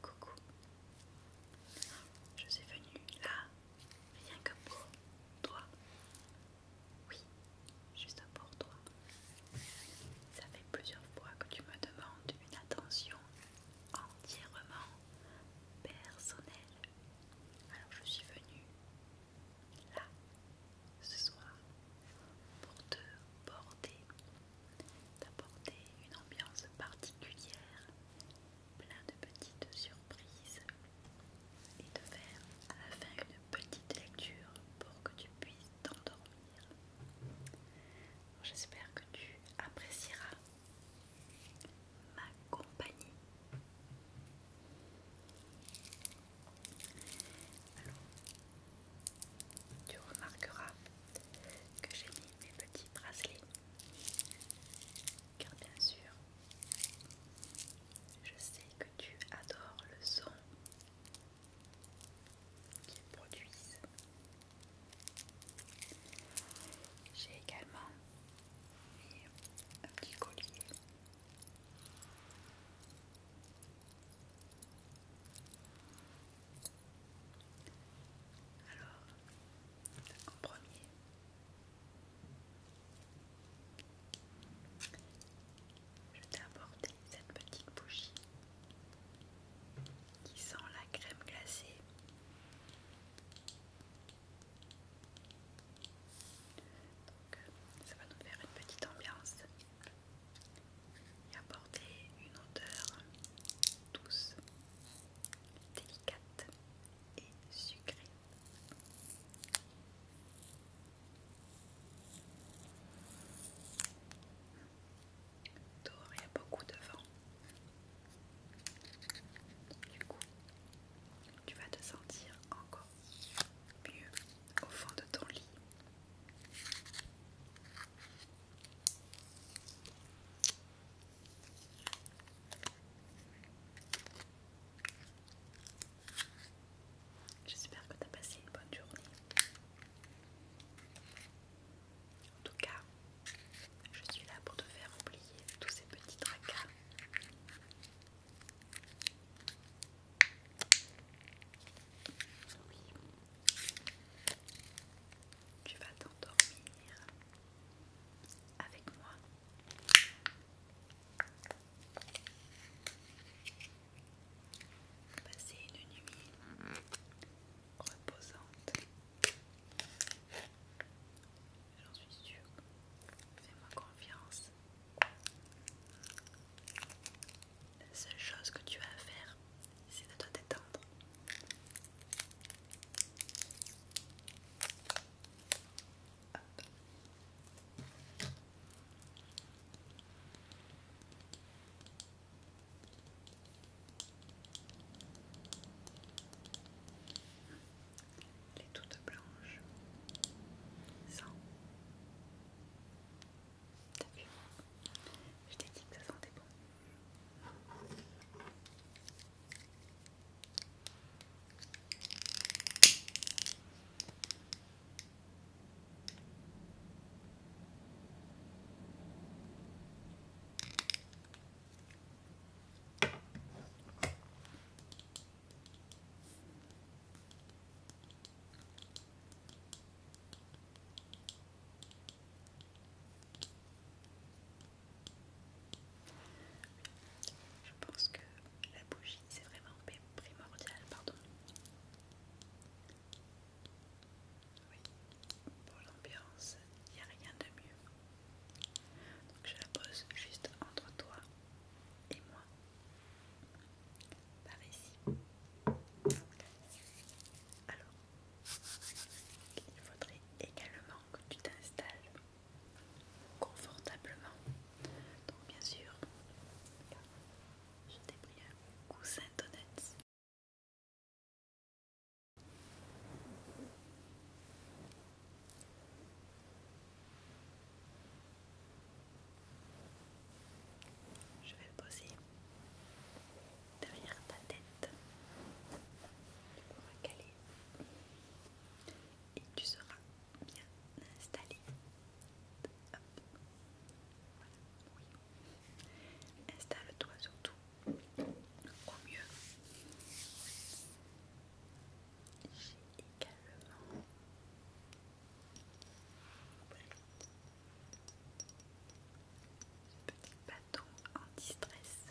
Coucou. Je suis venue là, rien que pour toi. Oui, juste pour toi. Ça fait plusieurs fois que tu me demandes une attention entièrement personnelle. Alors je suis venue là, ce soir pour te porter, d'apporter une ambiance particulière, plein de petites surprises et de faire à la fin une petite lecture pour que tu puisses t'endormir. J'espère que tu apprécieras ma compagnie. Alors, tu remarqueras que j'ai mis mes petits bracelets, car bien sûr, je sais que tu adores le son qu'ils produisent. J'ai également mis un petit collier alors, en premier, je t'ai apporté cette petite bougie qui sent la crème glacée. Donc, ça va nous faire une petite ambiance et apporter une odeur douce, délicate et sucrée. Dehors, il y a beaucoup de vent. Du coup, tu vas te sentir encore mieux au fond de ton lit J'espère que tu as passé une bonne journée. En tout cas, je suis là pour te faire oublier tous ces petits tracas. Tu vas t'endormir avec moi. Passer une nuit reposante. J'en suis sûre. Fais-moi confiance. La seule chose que tu as à faire, c'est de te détendre. Les Elle est toute blanche, sans je t'ai dit que ça sentait bon. Je pense que la bougie c'est vraiment primordial, pardon. pour l'ambiance, il n'y a rien de mieux. Donc je la pose juste entre toi et moi par ici. Alors, il faudrait également que tu t'installes confortablement. Donc bien sûr, je t'ai pris un coussin d'honnête. Je vais le poser derrière ta tête pour et tu seras bien installé. Installe-toi surtout au mieux. J'ai également Petit bâton anti-stress.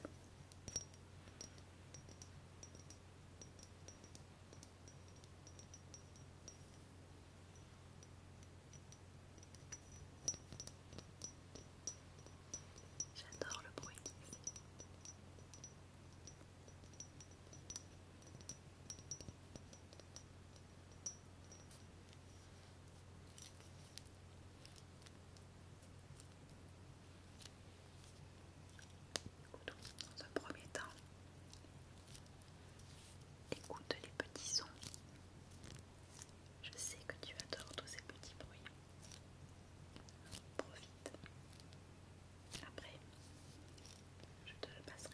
J'adore le bruit. Dans un premier temps, écoute les petits sons. Je sais que tu adores tous ces petits bruits. Profite. Après, je te le passerai.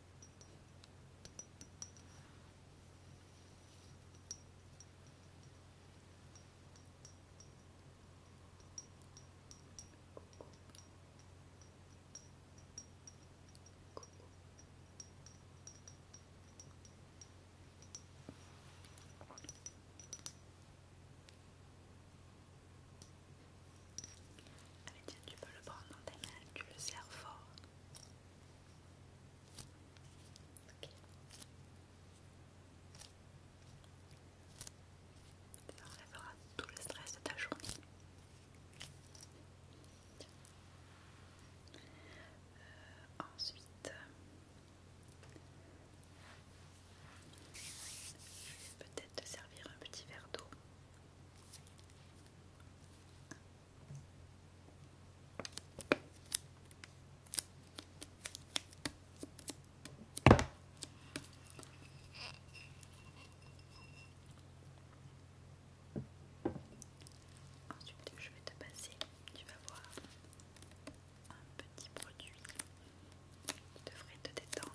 Allez, ah, tiens, tu peux le prendre dans tes mains, tu le serres fort. Ça enlèvera tout le stress de ta journée. Euh, ensuite, peut-être te servir un petit verre d'eau. Ensuite, je vais te passer, tu vas voir un petit produit qui devrait te détendre.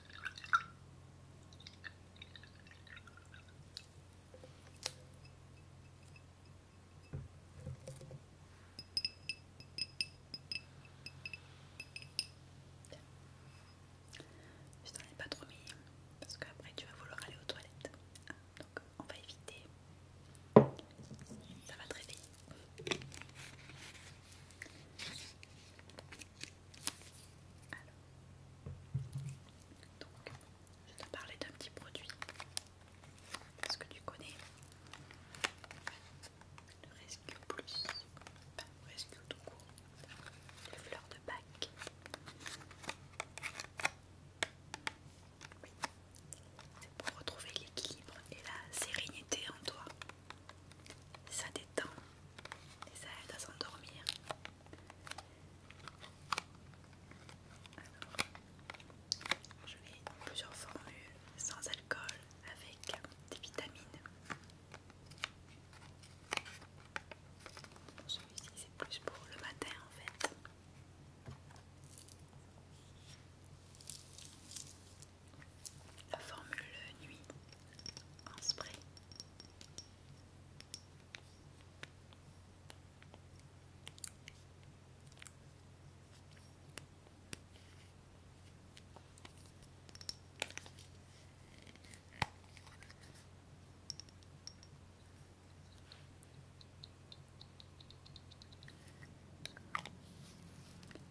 Je t'en ai pas trop mis hein, parce qu'après tu vas vouloir aller aux toilettes. Donc on va éviter. Ça va très vite. Alors, donc, je te parler d'un petit produit. Est-ce que tu connais le Rescue Plus enfin, Rescue tout court, les fleurs de bac C'est pour retrouver l'équilibre et la sérénité en toi. Ça détend et ça aide à s'endormir. Alors, je plusieurs formules sans alcool avec des vitamines. Celui-ci c'est plus pour le matin en fait. La formule nuit en spray.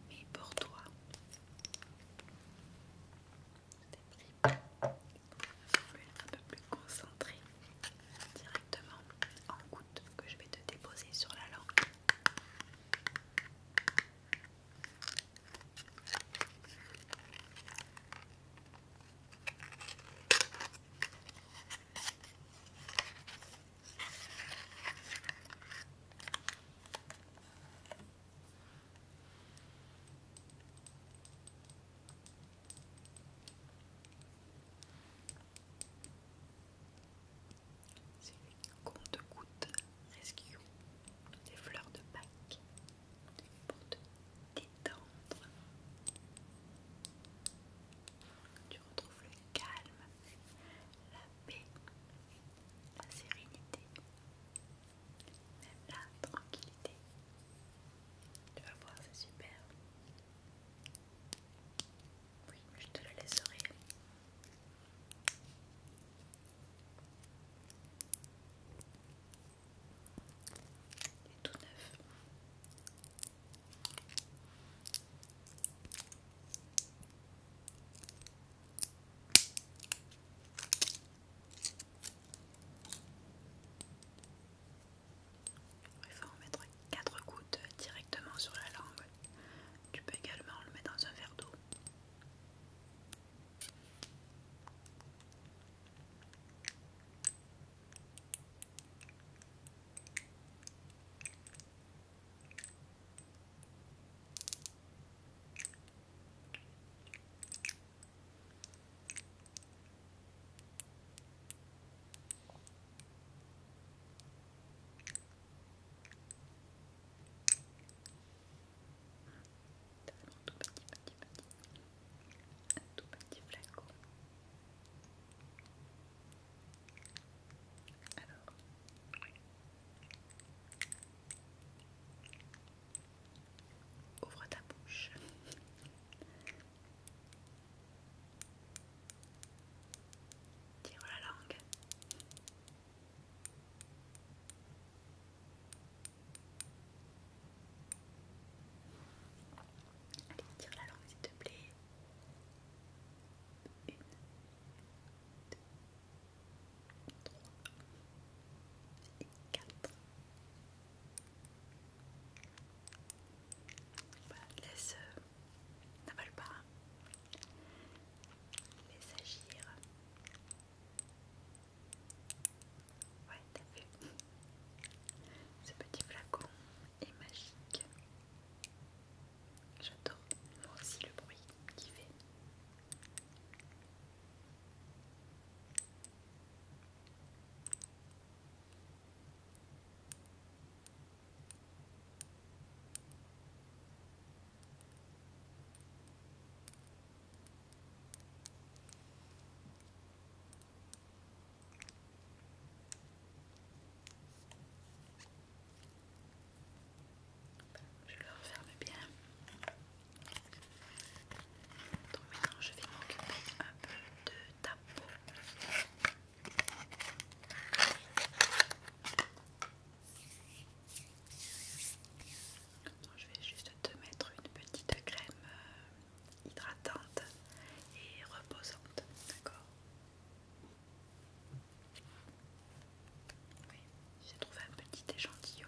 Et pour toi, pris une être un peu plus concentré, directement en goutte que je vais te déposer sur la langue. C'est te goutte rescue des fleurs de Pâques pour te détendre. Tu retrouves le calme, la paix, la sérénité. Même la tranquillité. Tu vas voir, c'est super. Oui, je te le laisserai. rire. tout neuf. Il faut en mettre 4 gouttes directement sur la langue. Tu peux également le mettre dans un verre d'eau tout petit, petit, petit, un tout petit flacon. Alors, Ouvre ta bouche. Tire la langue. Allez, tire la langue s'il te plaît. Une, deux, et 4. Voilà, laisse, euh, n'avale pas, laisse agir. Ouais, t'as vu Ce petit flacon est magique. J'adore moi aussi le bruit qu'il fait. Je le referme bien. Donc maintenant je vais m'occuper un peu de ta peau. Je vais juste te mettre une petite crème euh, hydratante et reposante, d'accord Oui, j'ai trouvé un petit échantillon.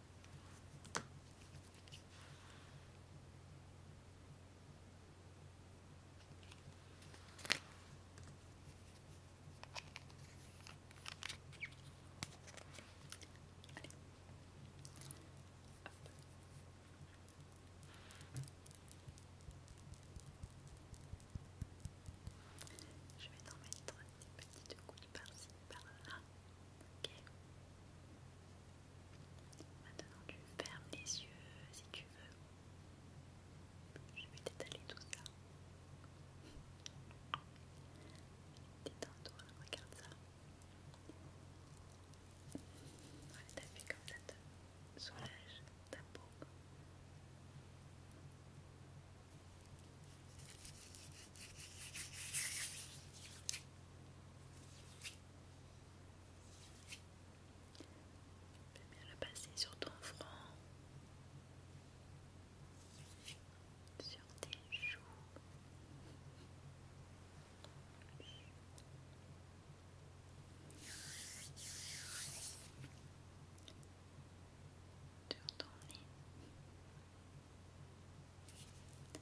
Je vais t'en mettre des petites couilles par-ci, par-là. Ok. Maintenant, tu fermes les yeux si tu veux. Je vais t'étaler tout ça. Détends-toi, regarde ça. t'as fait comme ça te soulage ta peau. Peux bien la passer sur ton front, sur tes joues. Sur ton nez, le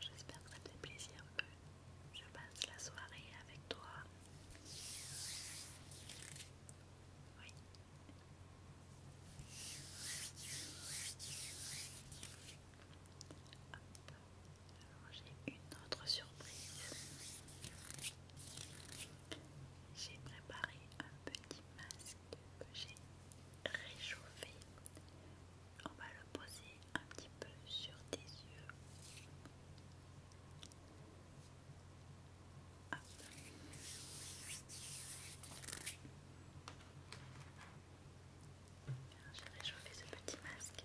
J'espère que ça te fait plaisir que je passe la soirée avec toi j'ai une autre surprise. J'ai préparé un petit masque que j'ai réchauffé. On va le poser un petit peu sur tes yeux. J'ai réchauffé ce petit masque.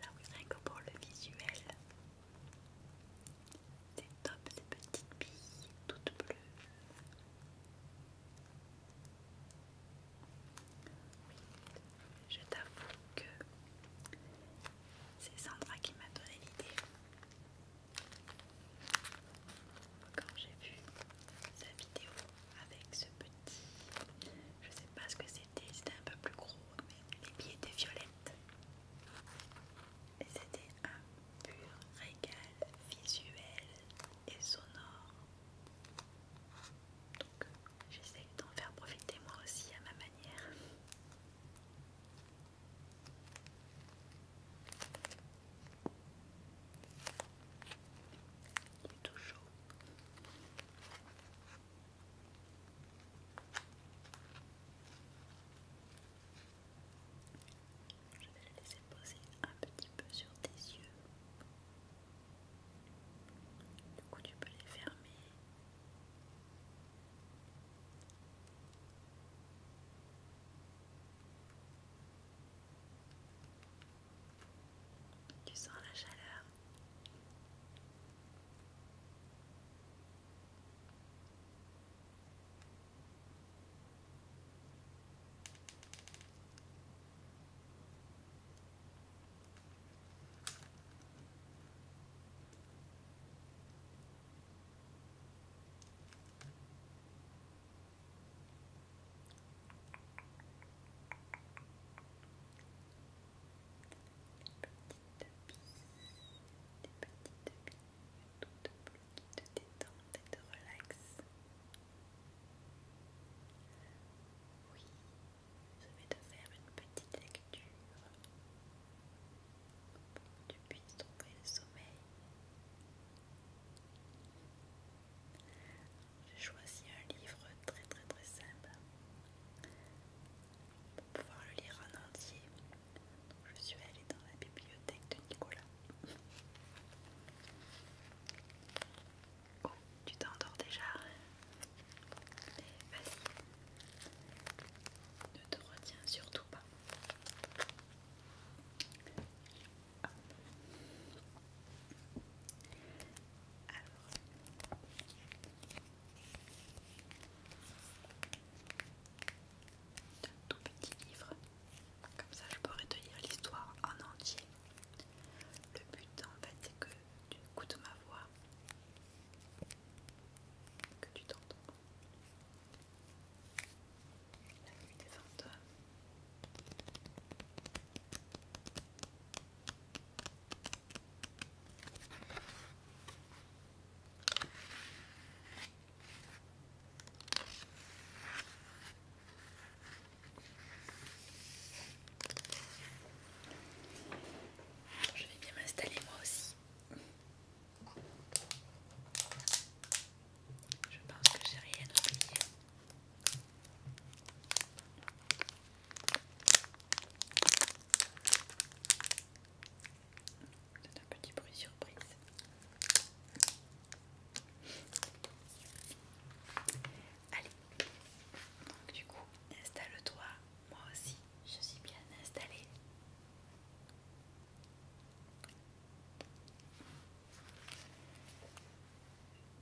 J'avoue que pour le visuel, c'est top ces petites billes toutes bleues. Oui, je t'avoue que c'est Sandra qui m'a donné l'idée. Quand j'ai vu sa vidéo avec ce petit je sais pas ce que c'était, c'était un peu plus gros, mais les pieds étaient violettes. Et c'était un pur régal visuel et sonore. Donc j'essaie d'en faire profiter moi aussi à ma manière chaud. Je vais laisser poser un petit peu sur tes yeux. Du coup, tu peux les fermer. Tu sens la chaleur petites billes toutes bleues qui te et te Oui, je vais te faire une petite lecture pour que tu puisses trouver le sommeil j'ai choisi un livre très très très simple pour pouvoir le lire en entier. je suis allée dans la bibliothèque de Nicolas. Oh, tu t'endors déjà Vas-y, ne te retiens surtout pas. Alors. Un tout petit livre, comme ça je pourrais te lire l'histoire en entier. Le but en fait c'est que tu écoutes ma voix, que tu t'entends. La nuit des je vais bien m'installer moi aussi. Je pense que j'ai rien oublié. C'est un petit bruit surprise. Allez, donc du coup, installe-toi. Moi aussi, je suis bien installée.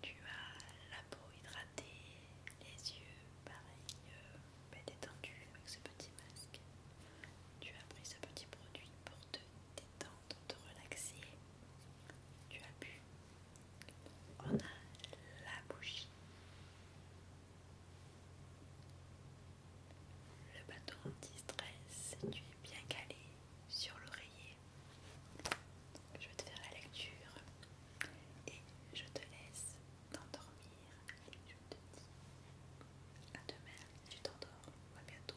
Tu as la peau hydratée, les yeux pareils, euh, bête détendus avec ce petit masque. Tu as pris ce petit produit pour te détendre, te relaxer. Tu as bu. On a la bougie. Le bateau anti-stress, tu es bien calé, sur l'oreiller. Je vais te faire la lecture et je te laisse t'endormir. je te dis à demain, tu t'endors. À bientôt.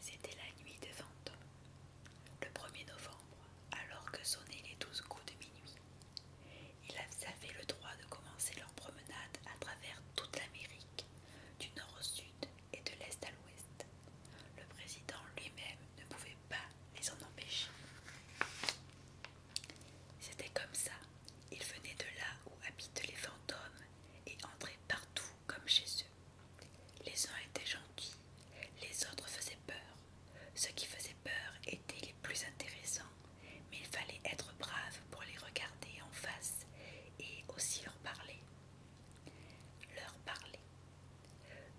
C'était la nuit de vente, le 1er novembre, alors que sonnaient les douze coups de minuit. Ils avaient le droit de commencer leur promenade à travers toute l'Amérique du nord au sud et de l'est à l'ouest. Le président lui-même ne pouvait pas les en empêcher. C'était comme ça, ils venaient de là où habitent les fantômes et entraient partout comme chez eux. Les uns étaient gentils, les autres faisaient peur. Ceux qui faisaient peur étaient les plus intéressants, mais il fallait être brave pour les regarder en face et aussi leur parler leur parler.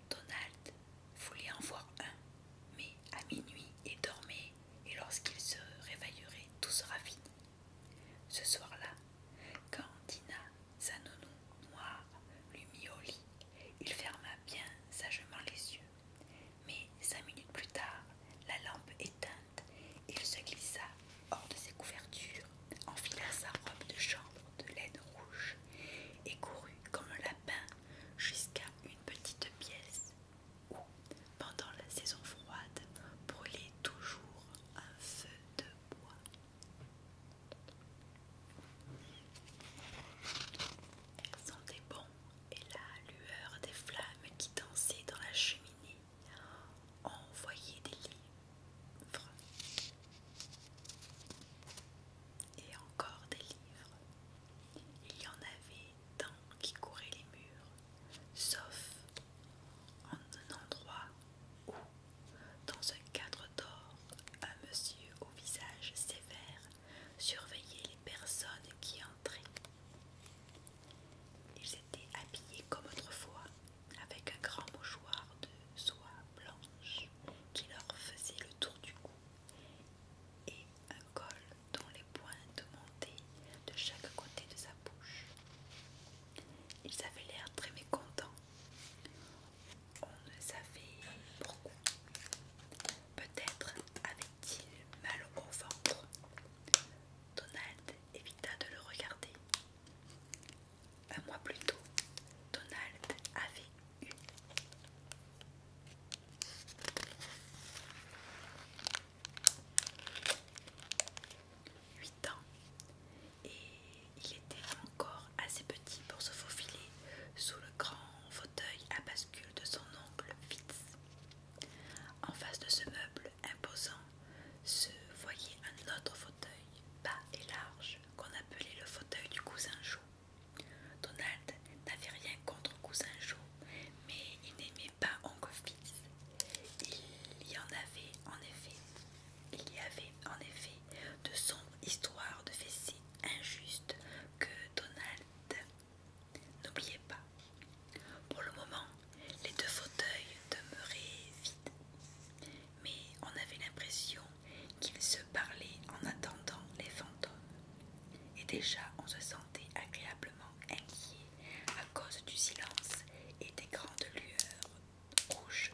Donald voulait en voir un, mais à minuit il dormait et lorsqu'il se réveillerait, tout sera fini. Ce soir-là, quand Dina, sa nounou noire, lui mit au lit, il ferma bien sagement les yeux. Mais cinq minutes plus tard, la lampe éteinte il se glissa hors de ses couvertures, enfila sa robe de chambre de laine rouge et courut comme un lapin jusqu'à une petite pièce où, pendant la saison froide, brûlait toujours un feu de bois. Elle sentait bon et la lueur des flammes qui dansaient dans la cheminée voyait des livres et encore des livres. Il y en avait tant qui couraient les murs, sauf en un endroit où, dans un cadre d'or, un monsieur au visage sévère surveillait les personnes qui entraient. Ils étaient habillés comme autrefois, avec un grand mouchoir de soie blanche qui leur faisait le tour du cou et un col dont les pointes montaient de chaque côté de sa bouche. Ils avaient l'air très mécontents. On ne savait pourquoi. Peut-être avait-il mal au ventre. Donald évita de le regarder un mois plus tôt, Donald avait eu huit ans et il était encore assez petit pour se faufiler sous le grand fauteuil à bascule de son oncle Fitz. En face de ce meuble imposant se voyait un autre fauteuil, bas et large, qu'on appelait le fauteuil du cousin Joe. Donald n'avait rien contre cousin Joe, mais il n'aimait pas oncle Il y en avait en effet, il y avait en effet de sombres histoires de si injustes que Donald n'oubliait pas. Pour le moment, les deux fauteuils demeuraient vides, mais on avait l'impression qu'ils se parlaient en attendant les fantômes. Et déjà, on se sentait agréablement inquiet à cause du silence et des grandes lueurs rouges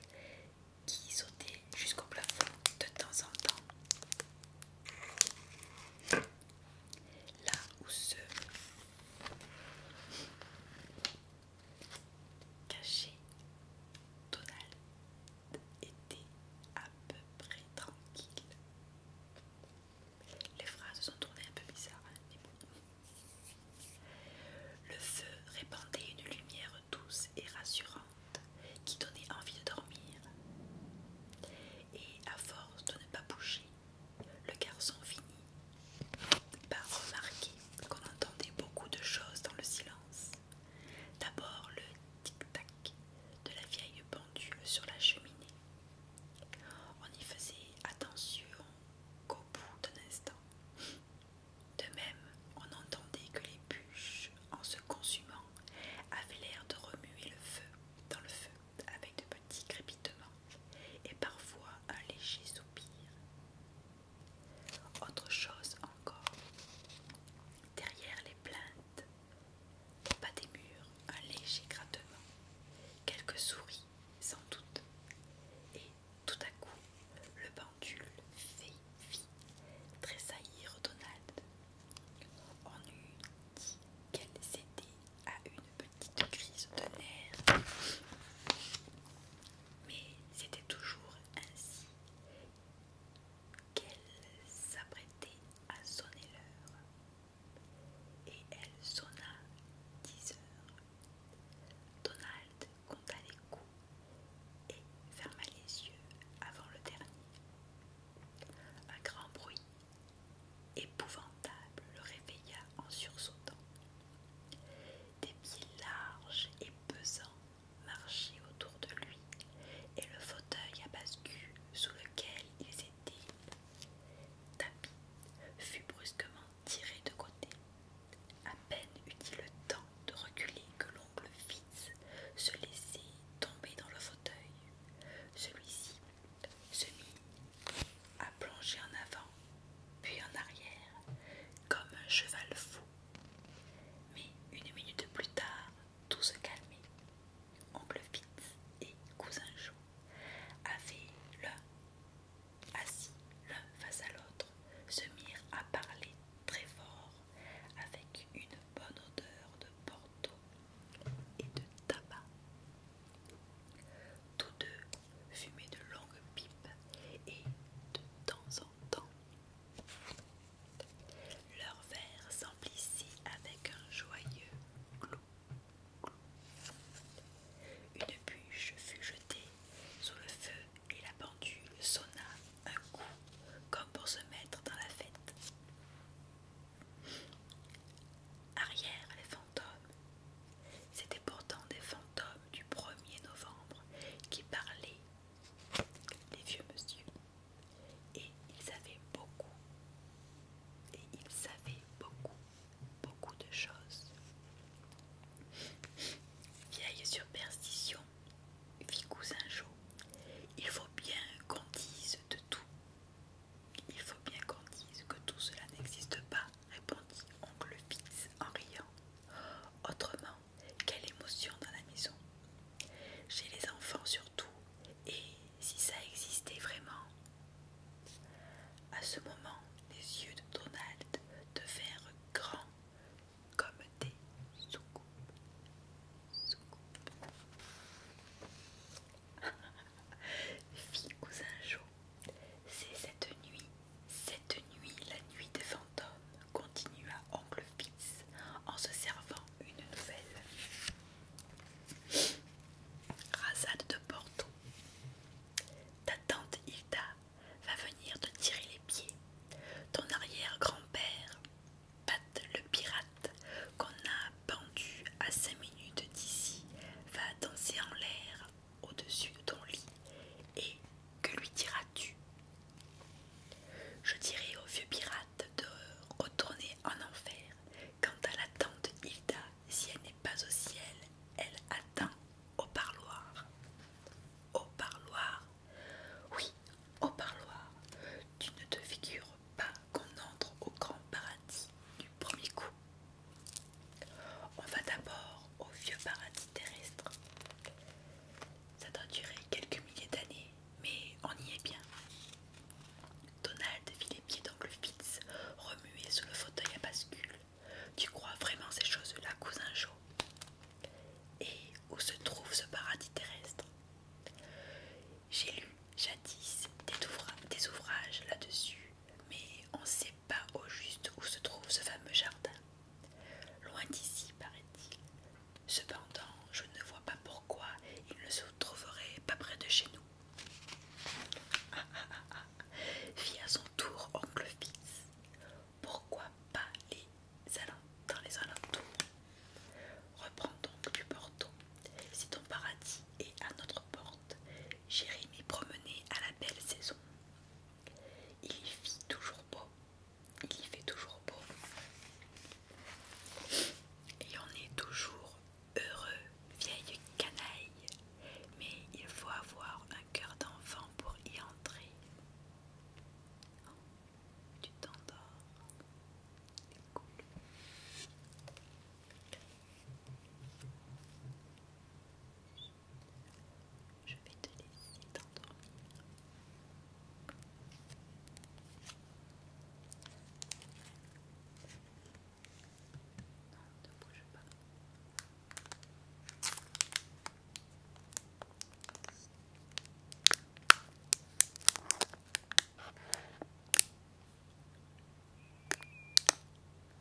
qui sautaient jusqu'au plafond de temps en temps. Là où se caché, Donald était à peu près tranquille. Les phrases sont tournées un peu bizarres, mais hein, Le feu répandait une lumière douce et rassurante qui donnait envie de dormir. Et à force de ne pas bouger, le garçon finit pas remarqué qu'on entendait beaucoup de choses dans le silence. D'abord le tic-tac de la vieille pendule sur la cheminée. On y faisait attention qu'au bout d'un instant. De même, on entendait que les bûches, en se consumant, avaient l'air de remuer le feu dans le feu avec de petits crépitements et parfois un léger soupir. Autre chose encore, derrière les plaintes, pas bas des murs, un léger grattement, quelques souris sans doute, et tout à coup, le pendule fait fit tressaillir Donald. On eût dit qu'elle s'était à une petite crise de nerfs. Mais c'était toujours ainsi qu'elle s'apprêtait à sonner l'heure. Et elle sonna dix heures. Donald compta les coups et ferma les yeux avant le dernier. Un grand bruit épouvantable le réveilla en sursautant. Des pieds larges et pesants marchaient autour de lui et le fauteuil à bascu sous lequel ils étaient tapis fut brusquement tiré de côté. À peine eut-il le temps de reculer que l'oncle Fitz se laissait tomber dans le fauteuil. Celui-ci se mit à plonger en avant, puis en arrière, comme un cheval fou. Mais une minute plus tard, tout se calmait. Oncle Fitz et cousin Joe avaient l'un assis l'un face à l'autre, se mirent à parler très fort avec une bonne odeur de porto et de tabac. Tous deux fumaient de longues pipes et, de temps en temps, leur verre s'emplissait avec un joyeux clou. Une bûche fut jetée sous le feu et la pendule sonna un coup comme pour se mettre dans la fête. Arrière les fantômes. c'était pourtant des fantômes du 1er novembre qui parlait des vieux monsieur. Et ils savaient beaucoup. Et ils savaient beaucoup, beaucoup de choses. Vieille superstition, vie cousin Jo, il faut bien qu'on dise de tout. Il faut bien qu'on dise que tout cela n'existe pas répondit oncle Fitz en riant. Autrement, quelle émotion dans la maison. Chez les enfants surtout, et si ça existait vraiment. À ce moment, les yeux de Donald devinrent grands comme des soucoupes. Fille cousin Joe c'est cette nuit, cette nuit, la nuit des fantômes, continua Oncle Fitz en se servant une nouvelle. Rasade de Porto. Ta tante Hilda va venir te tirer les pieds. Ton arrière-grand-père, Pat le pirate, qu'on a pendu à cinq minutes d'ici, va danser en l'air au-dessus de ton lit, et que lui diras-tu Je dirai au vieux pirate de retourner en enfer. Quant à la tante Hilda, si elle n'est pas au ciel, elle attend au parloir. Au parloir Oui, au parloir. Tu ne te figures pas qu'on entre au grand paradis du premier coup. On va d'abord au vieux paradis terrestre. Ça doit durer quelques milliers d'années, mais on y est bien. Donald vit les pieds d'angle Fitz remuer sous le fauteuil à bascule. Tu crois vraiment ces choses-là, cousin Joe Et où se trouve ce paradis terrestre J'ai lu jadis des ouvrages, là-dessus, mais on sait pas au juste où se trouve ce fameux jardin. Loin d'ici, paraît-il. Cependant, je ne vois pas pourquoi il ne se trouverait pas près de chez nous. à son tour oncle Fitz. Pourquoi pas les dans les alentours Reprends donc du porto. Si ton paradis est à notre porte, j'irai m'y promener à la belle saison. Il y fit toujours beau. Il y fait toujours beau. Et on est toujours heureux, vieille canaille. Mais il faut avoir un cœur d'enfant pour y entrer. Oh, tu t'endors. Cool. Je vais te laisser t'endormir. ne pas.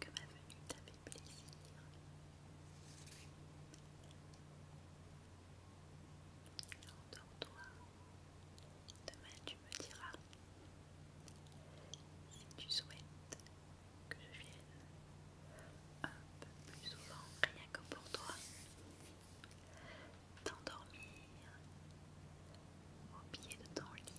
que ma venue t'a fait plaisir. demain tu me diras si tu souhaites que je vienne un peu plus souvent, rien que pour toi, t'endormir au pied de ton lit.